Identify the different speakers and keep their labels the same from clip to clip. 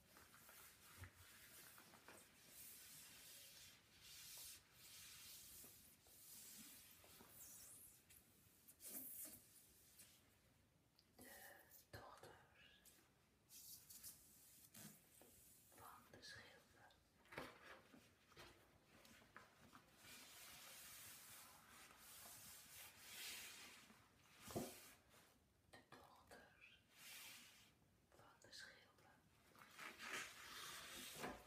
Speaker 1: De dochters van de schilder de donkers van de schilden. De dochters van de schilden. Vader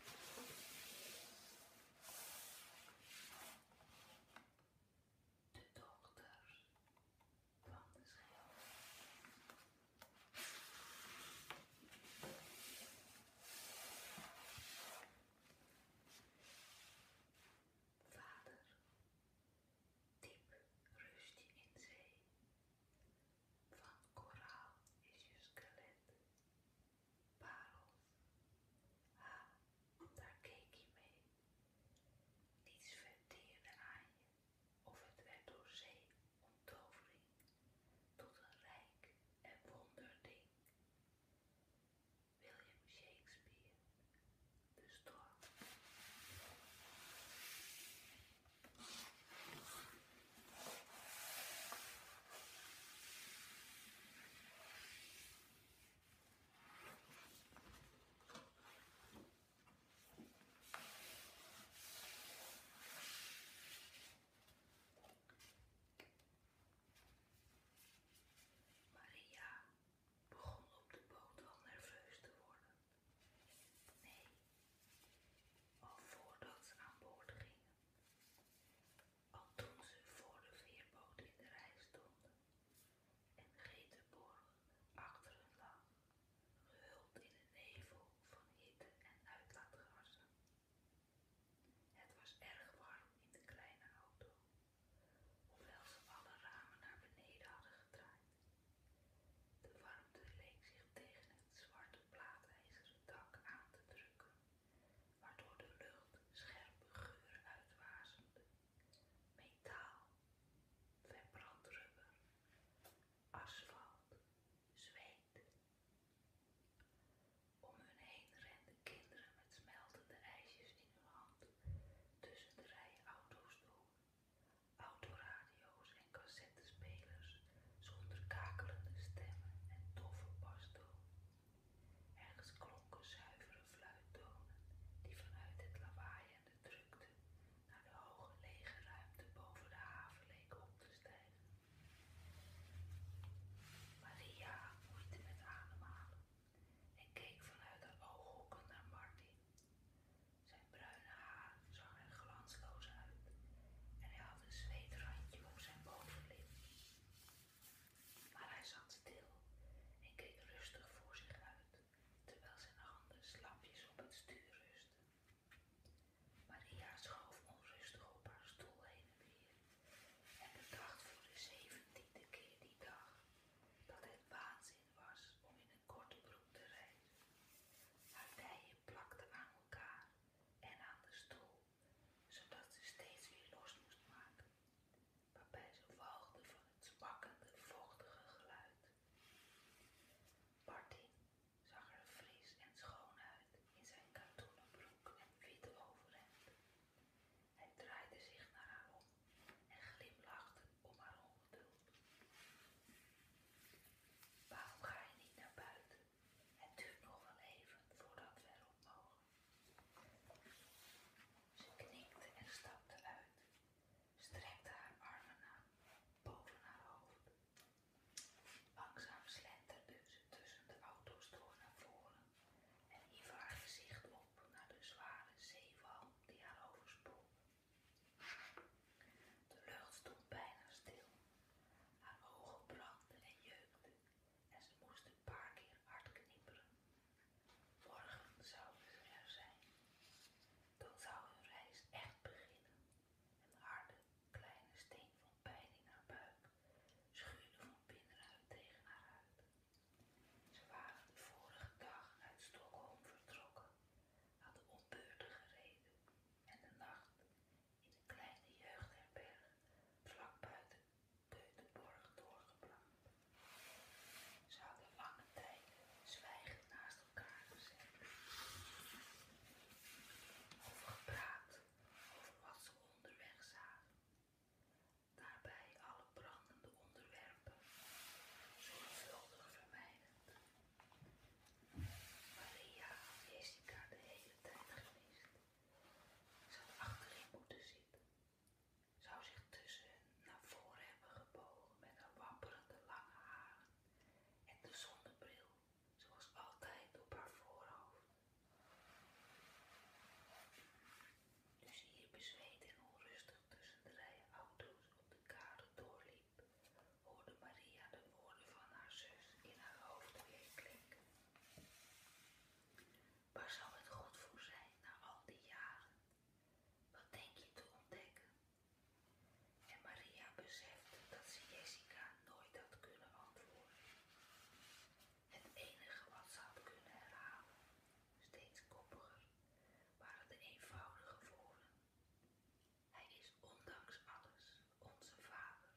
Speaker 1: Diep rust je in zee. Van koraal is je skelet. Parels. Ha, daar keek je mee. Niets verteerde aan je, of het werd door zee onttovering tot een rijk en wonderding. William Shakespeare dus door. Maria begon op de boot al nerveus te worden. Nee, al voordat ze aan boord gingen, al toen ze voor de veerboot in de rij stonden en Geterborg achter hun lag, gehuld in de nevel van hitte en uitlaatgassen. Het was erg warm in de kleine auto, hoewel ze alle ramen naar beneden hadden gedraaid. De warmte leek zich tegen het zwarte plaatijzeren dak aan te drukken, waardoor de lucht scherpe geuren uitwasemde. Metaal, verbrand asfalt, zweet. Om hun heen renden kinderen met smeltende ijsjes in hun hand tussen de rijen auto's door autoradio's en cassettespelers zonder kakelende stemmen en doffe bastoon. Ergens klonken zuivere fluittonen die vanuit het lawaai en de drukte naar de hoge lege ruimte boven de haven leken op te stijgen. Maria moeite met ademhalen en keek vanuit de ooghoeken naar Martin. Zijn bruine haar zag er glansloos uit en hij had een zweetrandje op zijn bovenlip. Maar hij zat stil en keek rustig voor zich uit, terwijl zijn handen slapjes op het stuur rusten. Maria schoof onrustig op haar stoel heen en weer en bedacht voor de zeventiende keer die dag dat het waanzin was om in een korte broek te rijden. Haar dijen plakten aan elkaar en aan de stoel, zodat ze steeds weer los moest maken, waarbij ze walgde van het zwakkende, vochtige geluid. Martin zag er vries en schoon uit in zijn katoenen broek en witte overhemd. Hij draaide zich naar haar om en glimlachte om haar ongeduld. Waarom ga je niet naar buiten? En duurt nog wel even voordat we erop mogen. Ze knikte en stapte uit, strekte haar armen naar boven haar hoofd. Langzaam slenterde ze tussen de auto's door naar voren en hief haar gezicht op naar de zware zeewal die haar oversprong. De lucht stond bijna stil, haar ogen brandden en jeukten en ze moest een paar keer hard knipperen. Morgen zou het er zijn. Dan zou hun reis echt beginnen. Een harde, kleine steen van pijn in haar buik schuurde van binnenuit tegen haar huid. Ze waren de vorige dag uit Stockholm vertrokken, hadden op beurten gereden en de nacht in een kleine jeugdherberg vlak buiten Keutenborg doorgebracht. Ze hadden lange tijd zwijgend naast elkaar gezeten. Over gepraat, over wat ze onderweg zagen daarbij alle brandende onderwerpen zorgvuldig vermijden. Maria is die kaart de hele tijd geweest. zou achterin moeten zitten. Zou zich tussen naar voren hebben gebogen met haar wapperende lange haren en de zonnebril, zoals altijd op haar voorhoofd. Dus hier bezweet en onrustig tussen de rijen auto's op de kade doorliep, hoorde Maria de woorden van haar zus in haar hoofd weer klinken. Waar zou het goed voor zijn na al die jaren? Wat denk je te ontdekken? En Maria besefte dat ze Jessica nooit had kunnen antwoorden. Het enige wat ze had kunnen herhalen, steeds koppiger, waren de eenvoudige woorden. Hij is ondanks alles onze vader.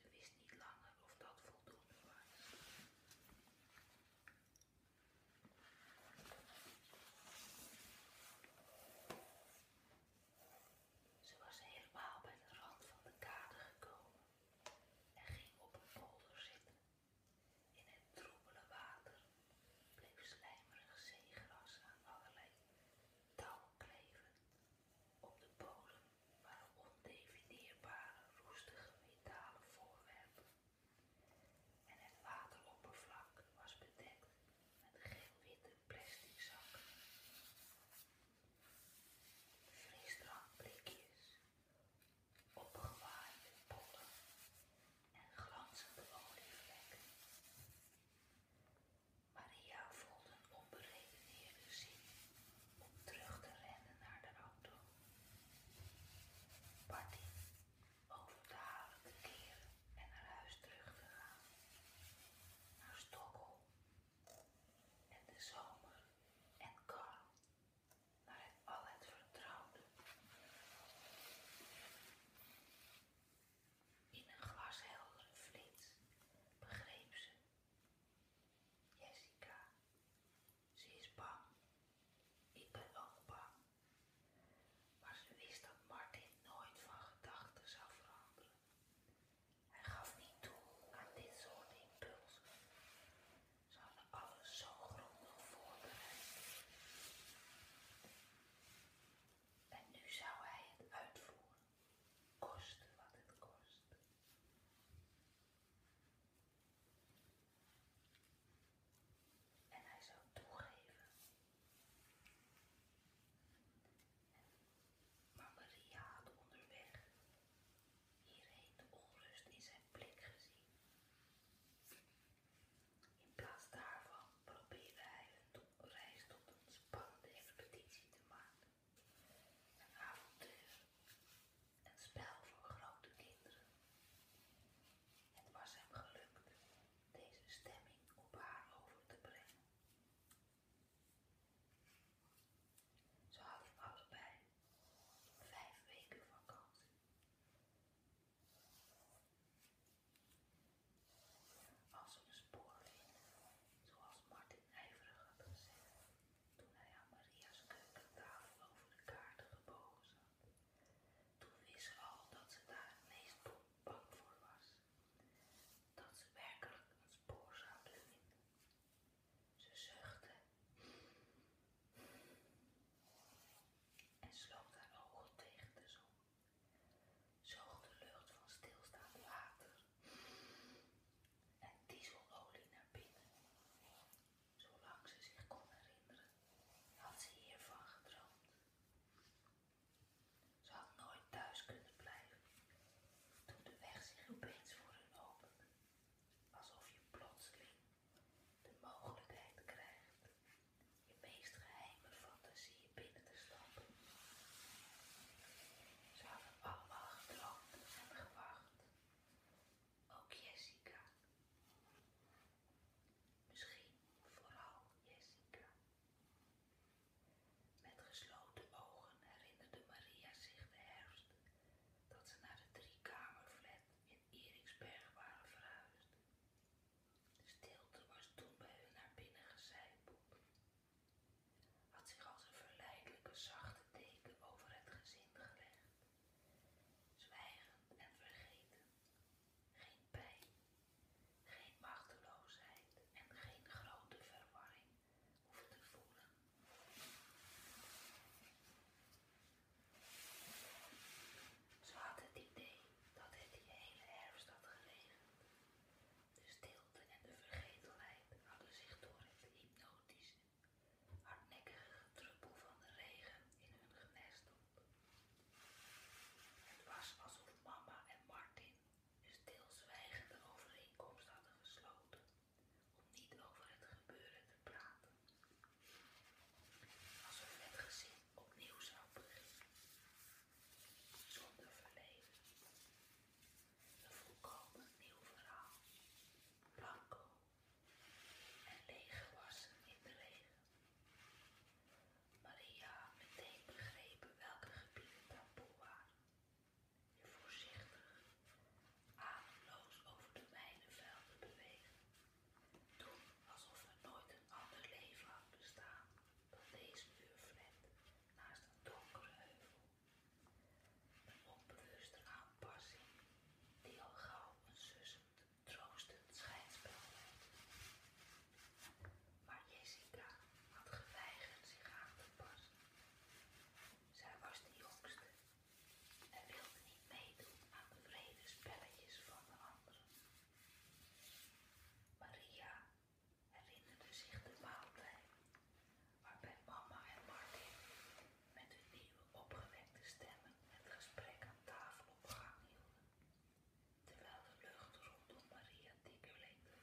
Speaker 1: Ze wist niet langer of dat voldoende was. Ze was helemaal bij de rand van de kade gekomen en ging op een polder zitten. In het troebele water bleef slijmerig zeegras aan allerlei touwen kleven. Op de bodem waren ondefinieerbare, roestige metalen voorwerpen. En het wateroppervlak was bedekt met geelwitte witte plastic zakken. plekjes opgewaaide pollen en glanzende olievlekken. Maria voelt een onberedeneerde zin om terug te rennen naar de auto. Party over te halen te keren en naar huis terug te gaan. Naar Stockholm en de zomer en karl naar het al het vertrouwde. In een glasheldere flits begreep ze Jessica. Ze is bang. Ik ben ook bang. Maar ze wist dat Martin nooit van gedachten zou veranderen. Hij gaf niet toe aan dit soort impulsen. Ze hadden alles zo grondig voorbereid. En nu zou hij het uitvoeren, koste wat het kost. En hij zou toegeven. Maar Maria had onderweg hierheen de onrust in zijn blik gezien. In plaats daarvan probeerde hij een reis tot een spannende expeditie te maken. Een avontuur, een spel voor grote kinderen. Het was hem gelukt deze stemming op haar over te brengen ze hadden bij vijf weken vakantie. Als ze een spoor vinden, zoals Martin ijverig had gezegd toen hij aan Maria's keukentafel over de kaarten gebogen zat, toen wist ze al dat ze daar het meest bang voor was dat ze werkelijk een spoor zouden vinden. Ze zuchtte en sloot haar ogen tegen de zon, zoog de lucht van stilstaand water en dieselolie naar binnen. Zolang ze zich kon herinneren, had ze hiervan gedroomd. Ze had nooit thuis kunnen blijven. Toen de weg zich opeens voor hen opende, alsof je plotseling de mogelijkheid krijgt je meest geheime fantasieën binnen te stappen. Ze hadden allemaal gedroomd en gewacht. Ook Jessica. Misschien vooral Jessica. Met gesloten ogen herinnerde Maria zich de herfst dat ze naar de driekamerflat in Eriksberg waren verhuisd. De stilte was toen bij hun naar binnen gecijpeld. Had zich als een verleidelijke zachte deken over het gezin gelegd, zwijgend en vergeten, geen pijn, geen machteloosheid en geen grote verwarring hoeven te voelen. Ze had het idee dat het die hele herfst had geregend. De stilte en de vergetelheid hadden zich door het hypnotische, hardnekkige druppel van de regen in hun op. Het was alsof mama en Martin stilzwijgende overeenkomst hadden gesloten om niet over het gebeuren te praten, alsof het gezin opnieuw zou beginnen, zonder verleden. Een volkomen nieuw verhaal, blanco en wassen in de regen. Maria meteen begrepen welke gebieden taboe waren. Je voorzichtig, ademloos over de mijnenvelden bewegen. Doen alsof er nooit een ander leven had bestaan dan deze muurflat naast een donkere heuvel. Een onbewuste aanpassing die al gauw een sussend, troostend schijnspel werd. Maar Jessica had geweigerd zich aan te passen. Zij was de jongste en wilde niet meedoen aan de vrede spelletjes van de anderen. Maria herinnerde zich de maaltijd waarbij mama en Martin met hun nieuwe opgewekte stemmen het gesprek aan tafel op gang hielden terwijl de lucht rondom Maria dikker leek te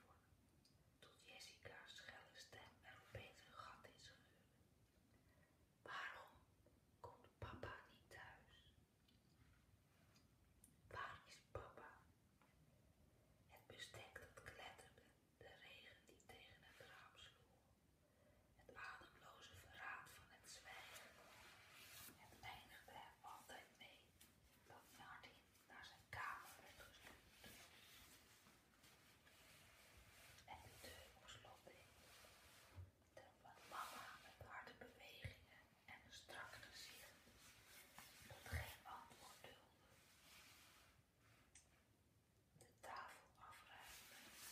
Speaker 1: tot Jessica's schelle stem er opeens een gat in schuurde. Waarom komt papa niet thuis? Waar is papa? Het bestek dat kletterde, de regen die tegen het raam sloeg, het ademloze verraad van het zwijgen. Het eindigde hem altijd mee dat naar zijn kamer werd gestuurd. En de deur moest lopen. Terwijl mama met harde bewegingen en een strak gezicht tot geen antwoord duldde. De tafel afruimde.